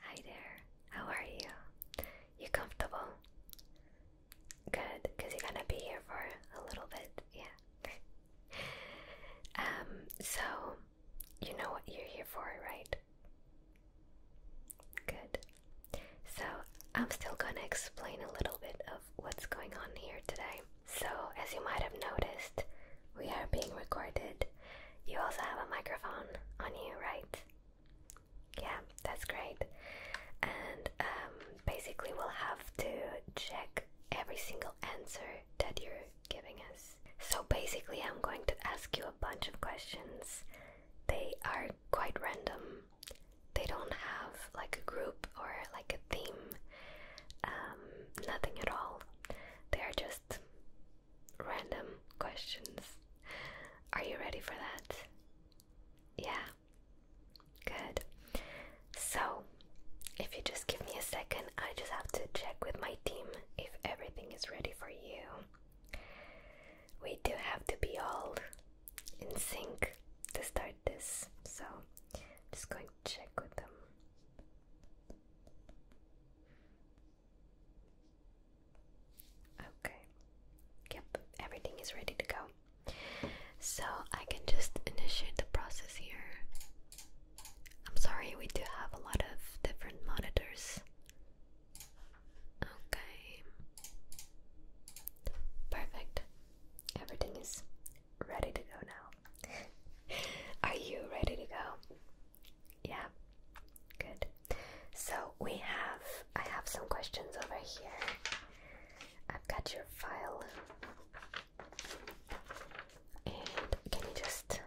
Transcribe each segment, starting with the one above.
Hi there, how are you? You comfortable? Good, you're gonna be here for a little bit, yeah. um, so you know what you're here for, right? Good. So I'm still gonna explain a little bit of what's going on here today. So, as you might have noticed, we are being recorded. You also have a microphone on you, right? Yeah, that's great. And um, basically, we'll have to check every single answer that you're giving us. So, basically, I'm going to ask you a bunch of questions. They are quite random, they don't have like a group or like a theme, um, nothing at all. They are just random questions. Are you ready for that? Yeah. Good. So, if you just give me a second, I just have to check with my team if everything is ready for you. We do have to be all in sync to start this, so I'm just going to check with them. Okay, yep, everything is ready to go. So I can just initiate the process here. I'm sorry, we do have a lot of different monitors. Okay, perfect. Everything is ready to go now. Are you ready to go? Yeah. Good. So we have I have some questions over here. I've got your file. And can you just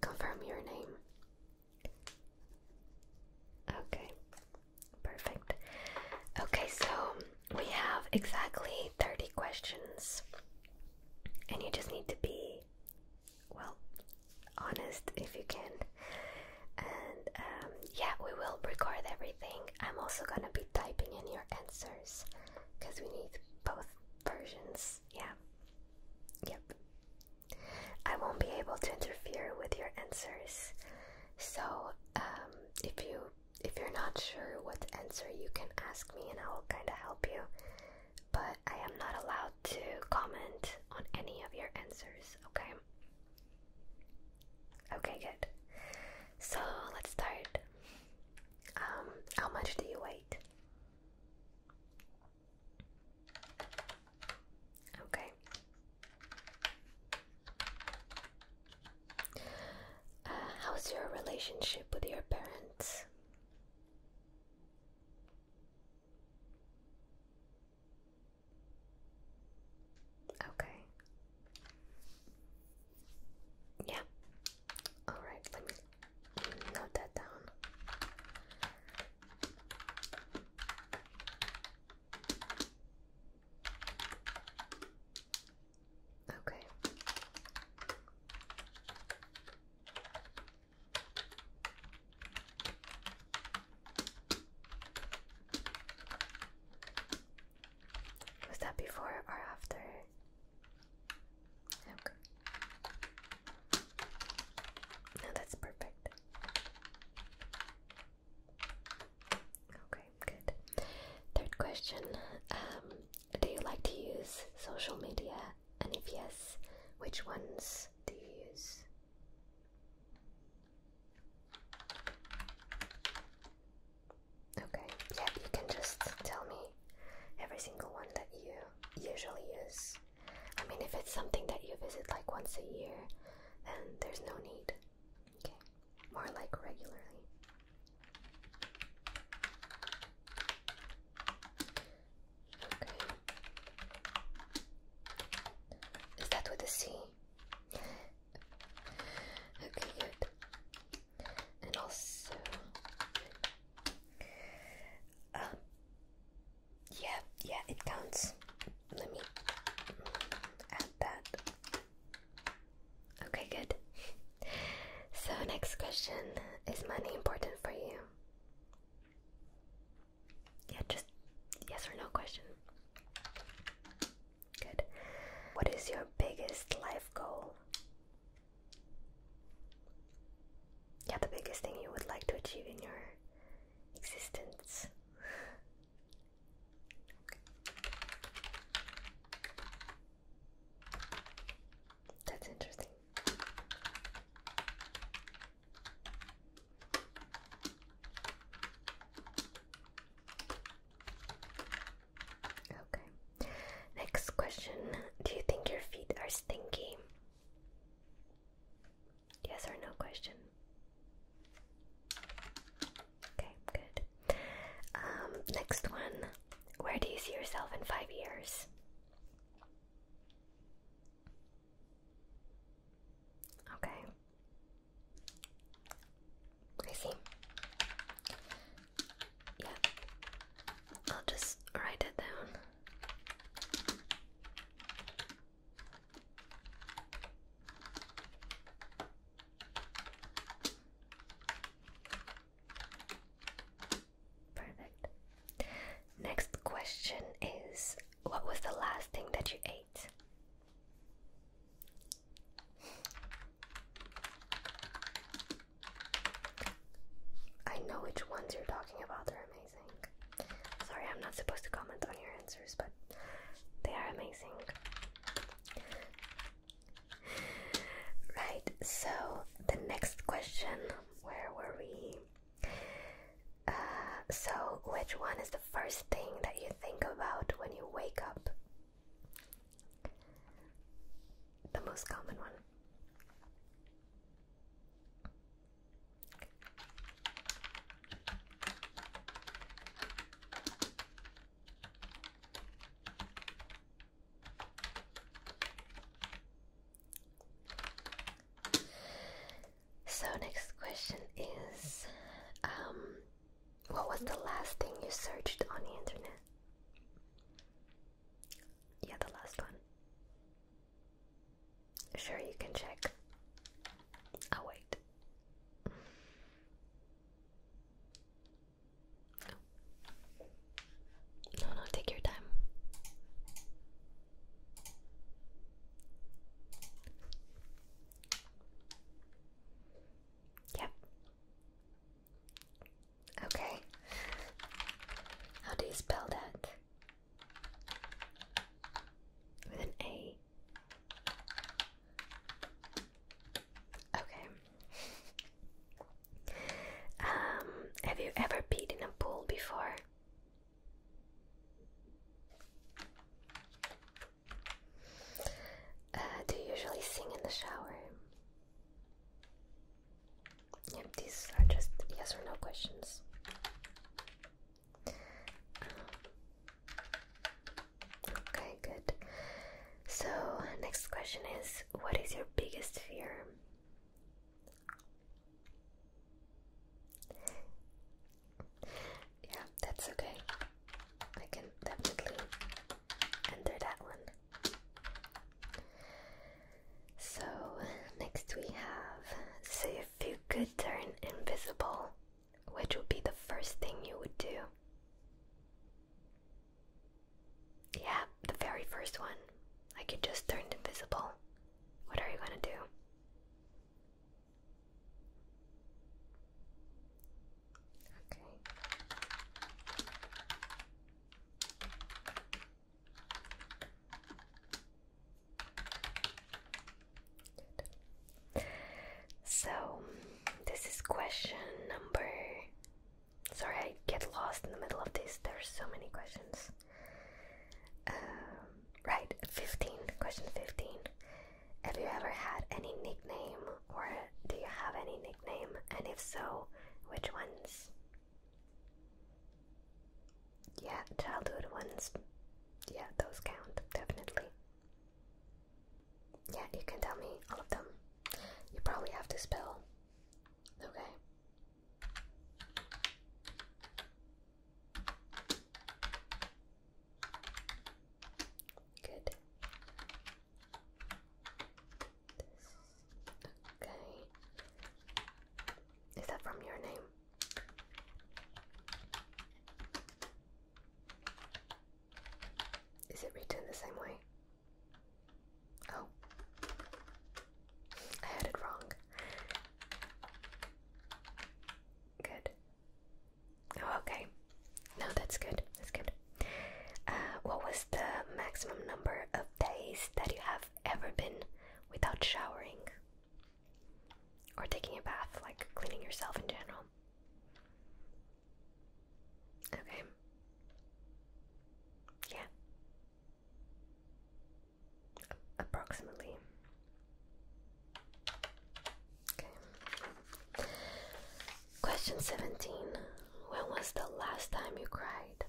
confirm your name? Okay. Perfect. Okay, so we have exactly 30 questions, and you just need to be, well, honest if you can. And um, yeah, we will record everything. I'm also gonna be typing in your answers because we need both versions. Yeah. Yep. I won't be able to interfere with your answers. So, um, if you if you're not sure what answer, you can ask me and I will kind of help you. But I am not allowed to comment on any of your answers, okay? Okay, good. So let's start. Um, how much do you weigh? Okay. Uh, how's your relationship with your parents? Okay. Yeah. All right, let me note that down. Okay. Was that before or after? Okay. No, that's perfect. Okay good. Third question um, Do you like to use social media? And if yes, which ones do you use? Okay, yeah, you can just tell me every single one that you usually use. I mean, if it's something that you visit like once a year, then there's no need. Okay more like regularly. Okay. Is that with a C? okay, good. And also, um, yeah, yeah, it counts. Let me add that. Okay, good. So, next question Is money important for you? Yeah, just yes or no question. Good. What is your biggest life goal? Yeah, the biggest thing you would like to achieve in your existence. That's interesting. Okay. Next question. Do you think your feet are stinky? Yes or no question. Okay, good. Um, next one. Where do you see yourself in five years? Okay. I see. Yeah. I'll just write it down. Perfect. Next question is What was the last thing that you ate? I know which ones you're talking about, they're amazing. Sorry, I'm not supposed to comment on your answers, but they are amazing. Right, so the next question, where were we? Uh, so, which one is the first thing that you think about when you wake up? The most common one. So next question is um what was the last thing you searched on the internet? Yeah, the last one. Sure, you can check. I'll wait. No, no, take your time. Yep. Okay. How do you spell that? With an A. Okay. um, have you ever peed in a pool before? Uh, do you usually sing in the shower? Yep, these are just yes or no questions. Okay, good. So, next question is What is your biggest fear? Yeah, that's okay. I can definitely enter that one. So, next we have So, if you could turn invisible, which would be the first thing you would do? Yeah, the very first one. I could just turn invisible. What are you gonna do? So, this is question number. Sorry, I get lost in the middle of this. There are so many questions. Um, right, 15. Question 15. Have you ever had any nickname, or do you have any nickname? And if so, which ones? Yeah, childhood ones yeah, those count, definitely. Yeah, you can tell me all of them. You probably have to spell. Okay. Good. Okay. Is that from your name? Is it written the same way? Oh, I had it wrong. Good. Oh, okay. No, that's good. That's good. Uh, what was the maximum number of days that you have ever been without showering? Or taking a bath, like cleaning yourself in general. Okay. Yeah. Approximately. Okay. Question 17. When was the last time you cried?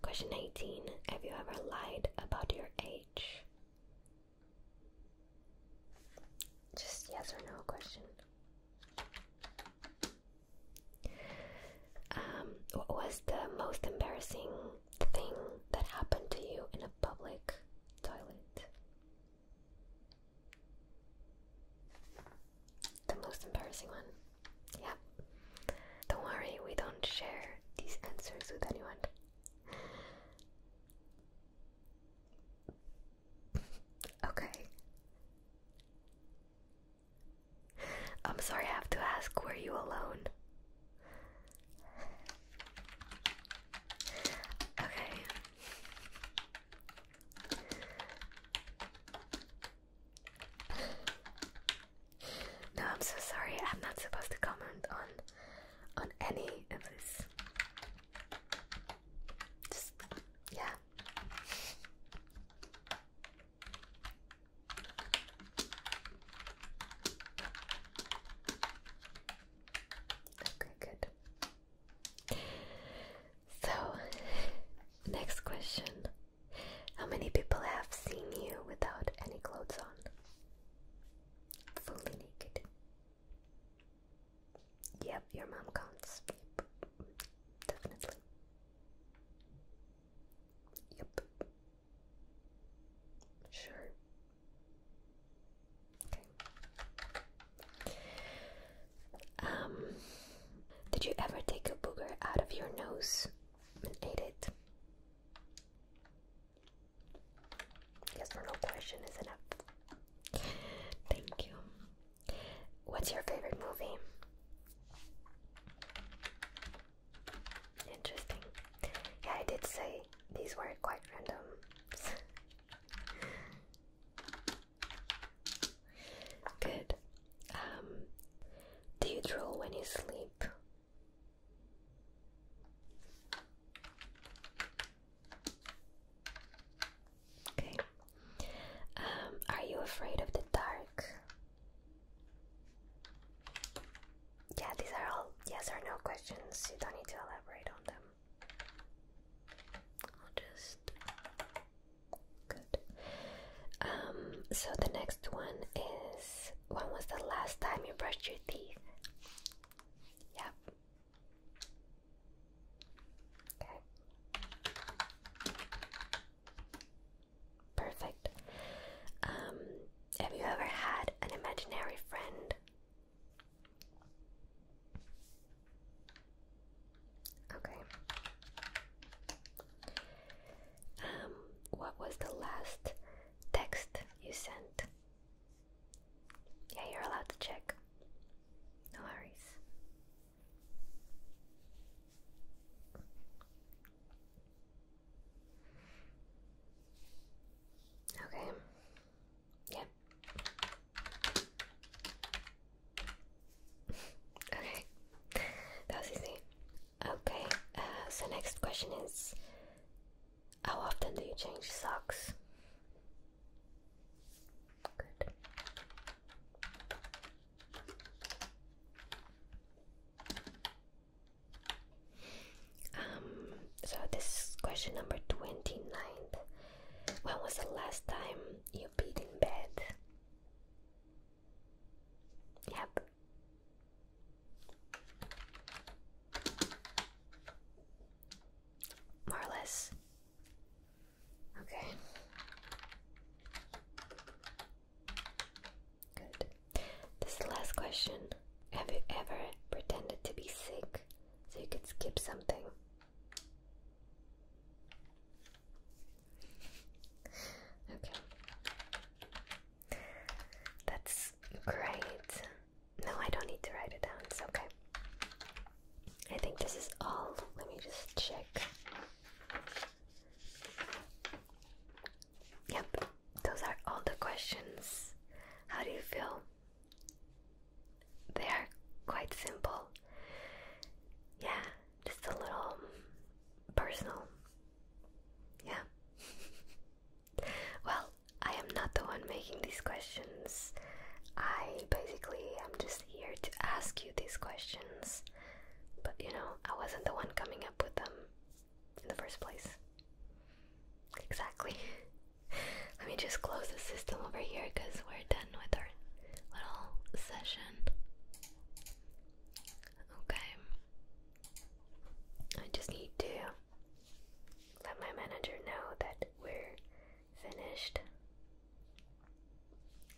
Question 18 Have you ever lied about your age? Just yes or no question. Um, what was the most embarrassing thing that happened to you in a public toilet? The most embarrassing one. Yeah. Don't worry, we don't share these answers with anyone. okay. I'm sorry, I have to ask, were you alone? Okay, no, I'm so sorry. I'm not supposed to comment on on any of this. Just yeah. Okay, good. So, next question. How many people have seen you without any clothes on? Fully naked. Yep, your mom counts. Definitely. Yep. Sure. Um, did you ever take a booger out of your nose and ate it? Yes or question is enough. Thank you. What's your favorite movie? Interesting. Yeah, I did say these were quite random. Good. Um, do you draw when you sleep? Okay. Um, are you afraid of the dark? Yeah, these are all yes or no questions. You don't need to elaborate on them. I'll just good. Um, so the next one is when was the last time you brushed your teeth? Yep. Okay. Perfect. Um, have you ever had an imaginary friend Okay. Um, what was the last text you sent? Yeah, you're allowed to check. No worries. Okay. Yeah, Okay, that was easy. Okay, uh, so next question is How often do you change socks? Um, so this question number 29. When was the last time you peed in bed? Yep. More or less. Okay. Good. This last question. Have you ever pretended to be sick so you could skip something. Okay. That's great. No, I don't need to write it down. It's okay. I think this is all. Let me just check. Yep, those are all the questions. How do you feel? They are quite simple. Yeah, just a little personal. Yeah. well, I am not the one making these questions. I basically am just here to ask you these questions. But you know, I wasn't the one coming up with them in the first place. Exactly. Let me just close the system over here because we're done with our little session. Okay. I just need to let my manager know that we're finished.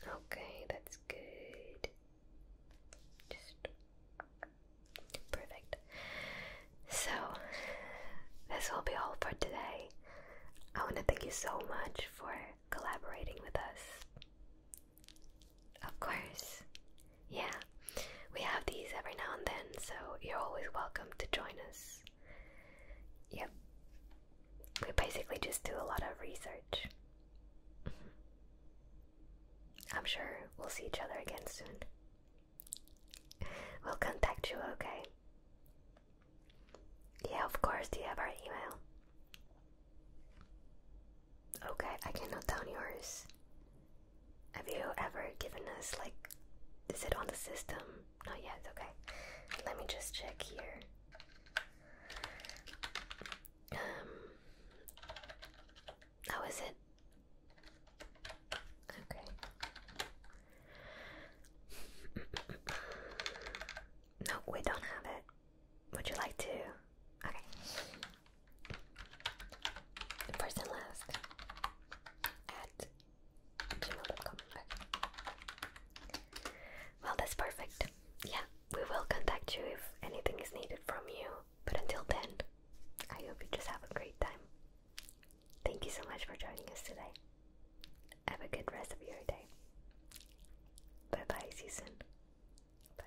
Okay, that's good. Just perfect. So, this will be all for today. I want to thank you so much for collaborating with us. Of course. Yeah, we have these every now and then, so you're always welcome to join us. Yep. We basically just do a lot of research. I'm sure we'll see each other again soon. We'll contact you, okay? Yeah, of course. Do you have our email? Okay, I can note down yours. Have you ever given us, like, is it on the system? Not yet, okay. Let me just check here. Um, how is it? Okay. no, we don't have it. Would you like to? Okay. First last at gmail.com. Well, that's perfect. Yeah, we will contact you if anything is needed from you. But until then, I hope you just have a great time. Thank you so much for joining us today. Have a good rest of your day. Bye bye, see Bye.